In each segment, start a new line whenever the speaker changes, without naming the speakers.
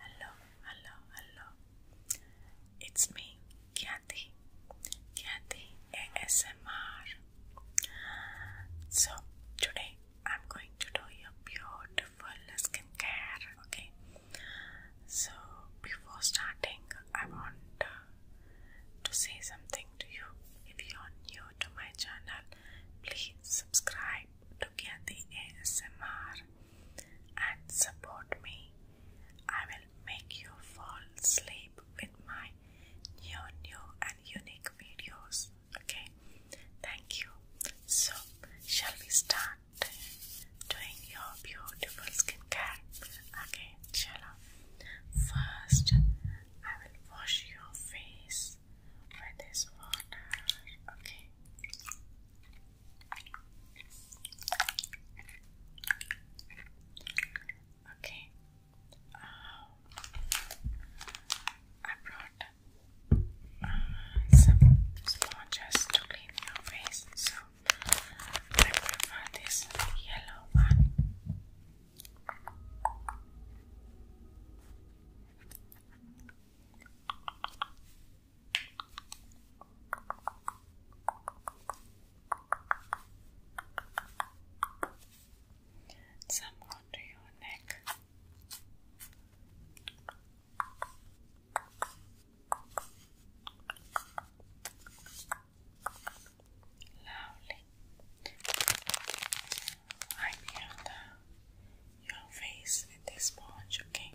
Hello, hello, hello. It's me, Kathy. Kathy ASMR. So, today I'm going to do your beautiful skincare. Okay. So, before starting, I want to say something to you. If you're new to my channel, Please subscribe to the ASMR and support me. I will make you fall asleep with my new, new and unique videos. Okay, thank you. So, shall we start doing your beautiful skin care? Okay, shall we? First, I will wash your face for this water. Okay. Okay. Um, I brought uh, some sponges to clean your face, so I prefer this yellow one. Some onto your neck. Lovely. I'm here on your face with this sponge, okay?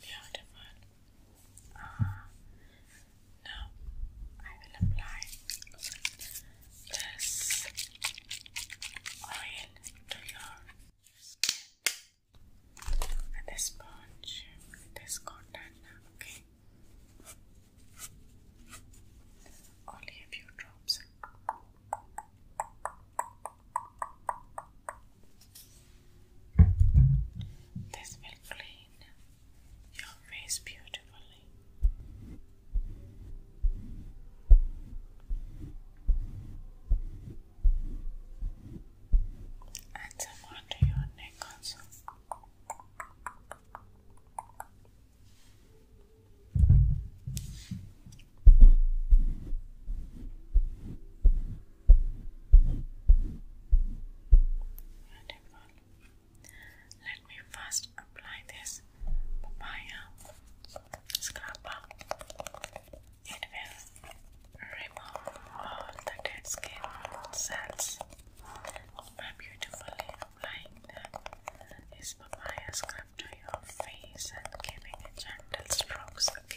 Beautiful. Uh, now I will apply this oil to your with sponge, with cotton, okay? Only a few drops. This will clean your face beautifully. And some onto your neck also. Wonderful. Let me first apply this papaya scrapper. It will remove all the dead skin cells by beautifully applying this papaya scrub to your face and giving gentle strokes. Okay.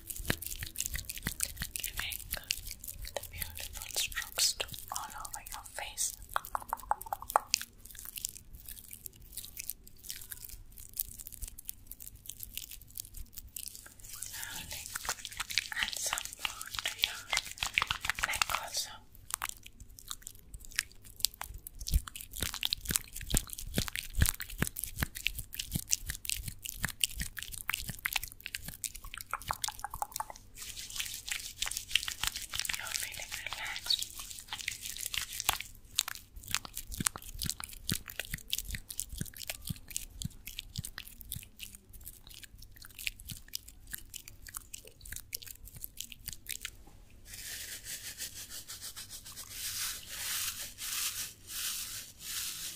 giving the beautiful strokes all over your face. Slowly add some more to your also. You're feeling relaxed. Good.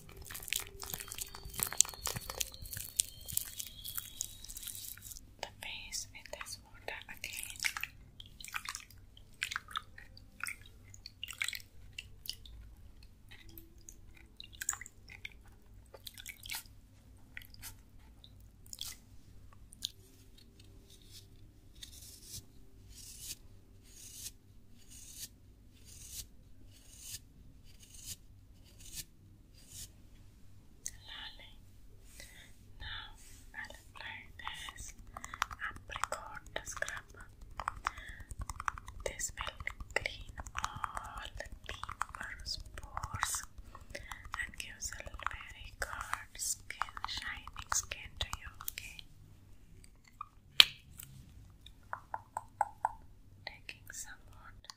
the face in this water again. Now i apply this apricot scrub. This will clean all the deeper pores and gives a very good skin, shining skin to you, okay? Taking some water.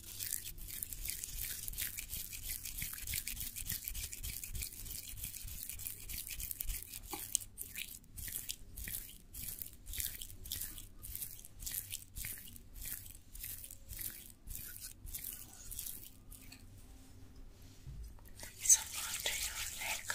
Some onto your neck.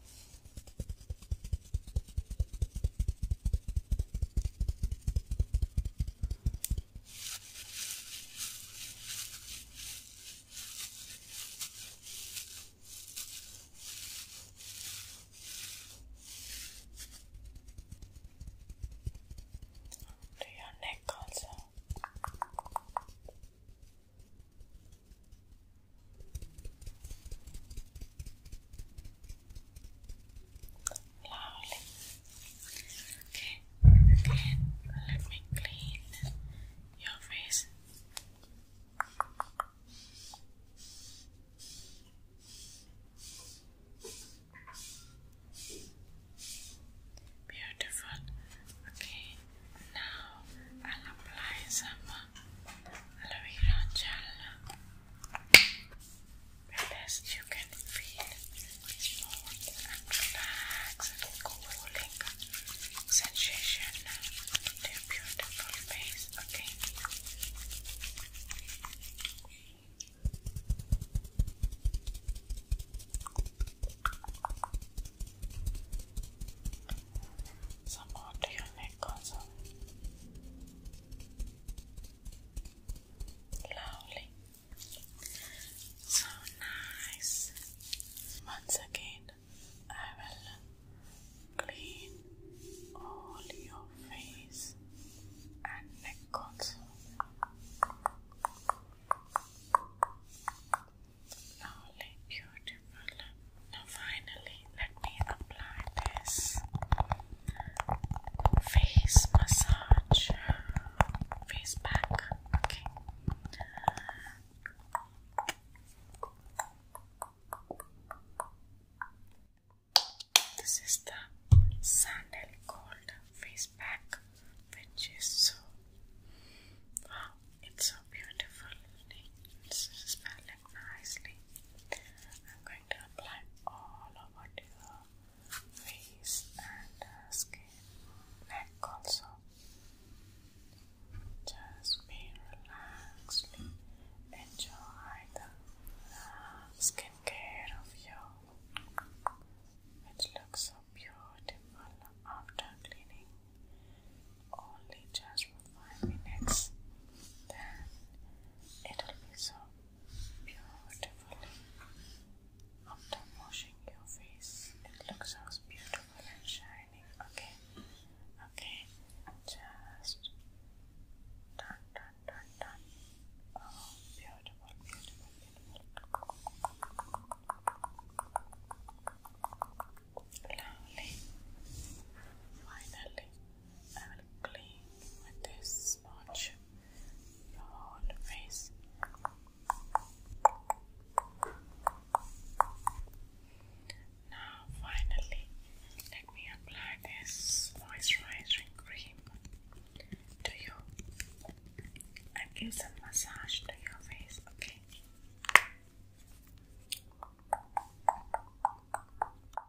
To your neck also. Lovely. Okay, let me clean your face. Beautiful. Okay, now I'll apply some aloe Best you can feel smooth and relaxed cooling sensation to your beautiful face. Okay. Some more to Lovely. So nice. Once again, I will clean all your face and neck Lovely, beautiful. Now finally, let me apply this face massage, face back. Okay. This is the sandal called face pack, which is so wow, it's so beautiful. It's smelling nicely. I'm going to apply all over your face and uh, skin, neck also. Just be relaxed, enjoy the uh, skin care of you, which looks so beautiful after cleaning only just for five minutes, then it'll be so beautifully. After washing your face, it looks so beautiful and shining. Okay, okay, just done, done, done, done. Oh, beautiful, beautiful, beautiful. Lovely. Finally, I will clean with this sponge your face. Now, finally, let me apply this moisturizing cream to you
and give some
massage to your face, okay?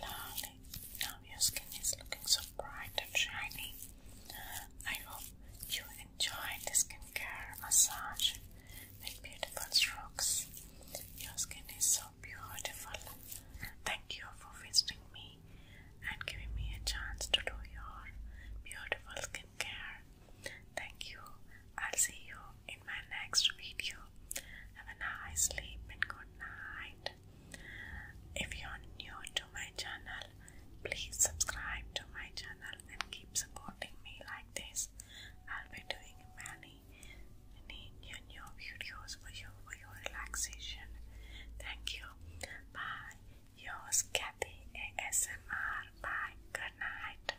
Lovely. Now your skin is looking so bright and shiny. I hope you enjoyed the skincare massage with beautiful strokes. Your skin is so beautiful. Thank you for visiting me and giving me a chance to do your beautiful skincare. Thank you. I'll see you in my next video. Have a nice sleep and good night. If you're new to my channel, please subscribe to my channel and keep supporting me like this. I'll be doing many, new, new videos for you for your relaxation. Thank you. Bye. Yours, Kathy ASMR. Bye. Good night.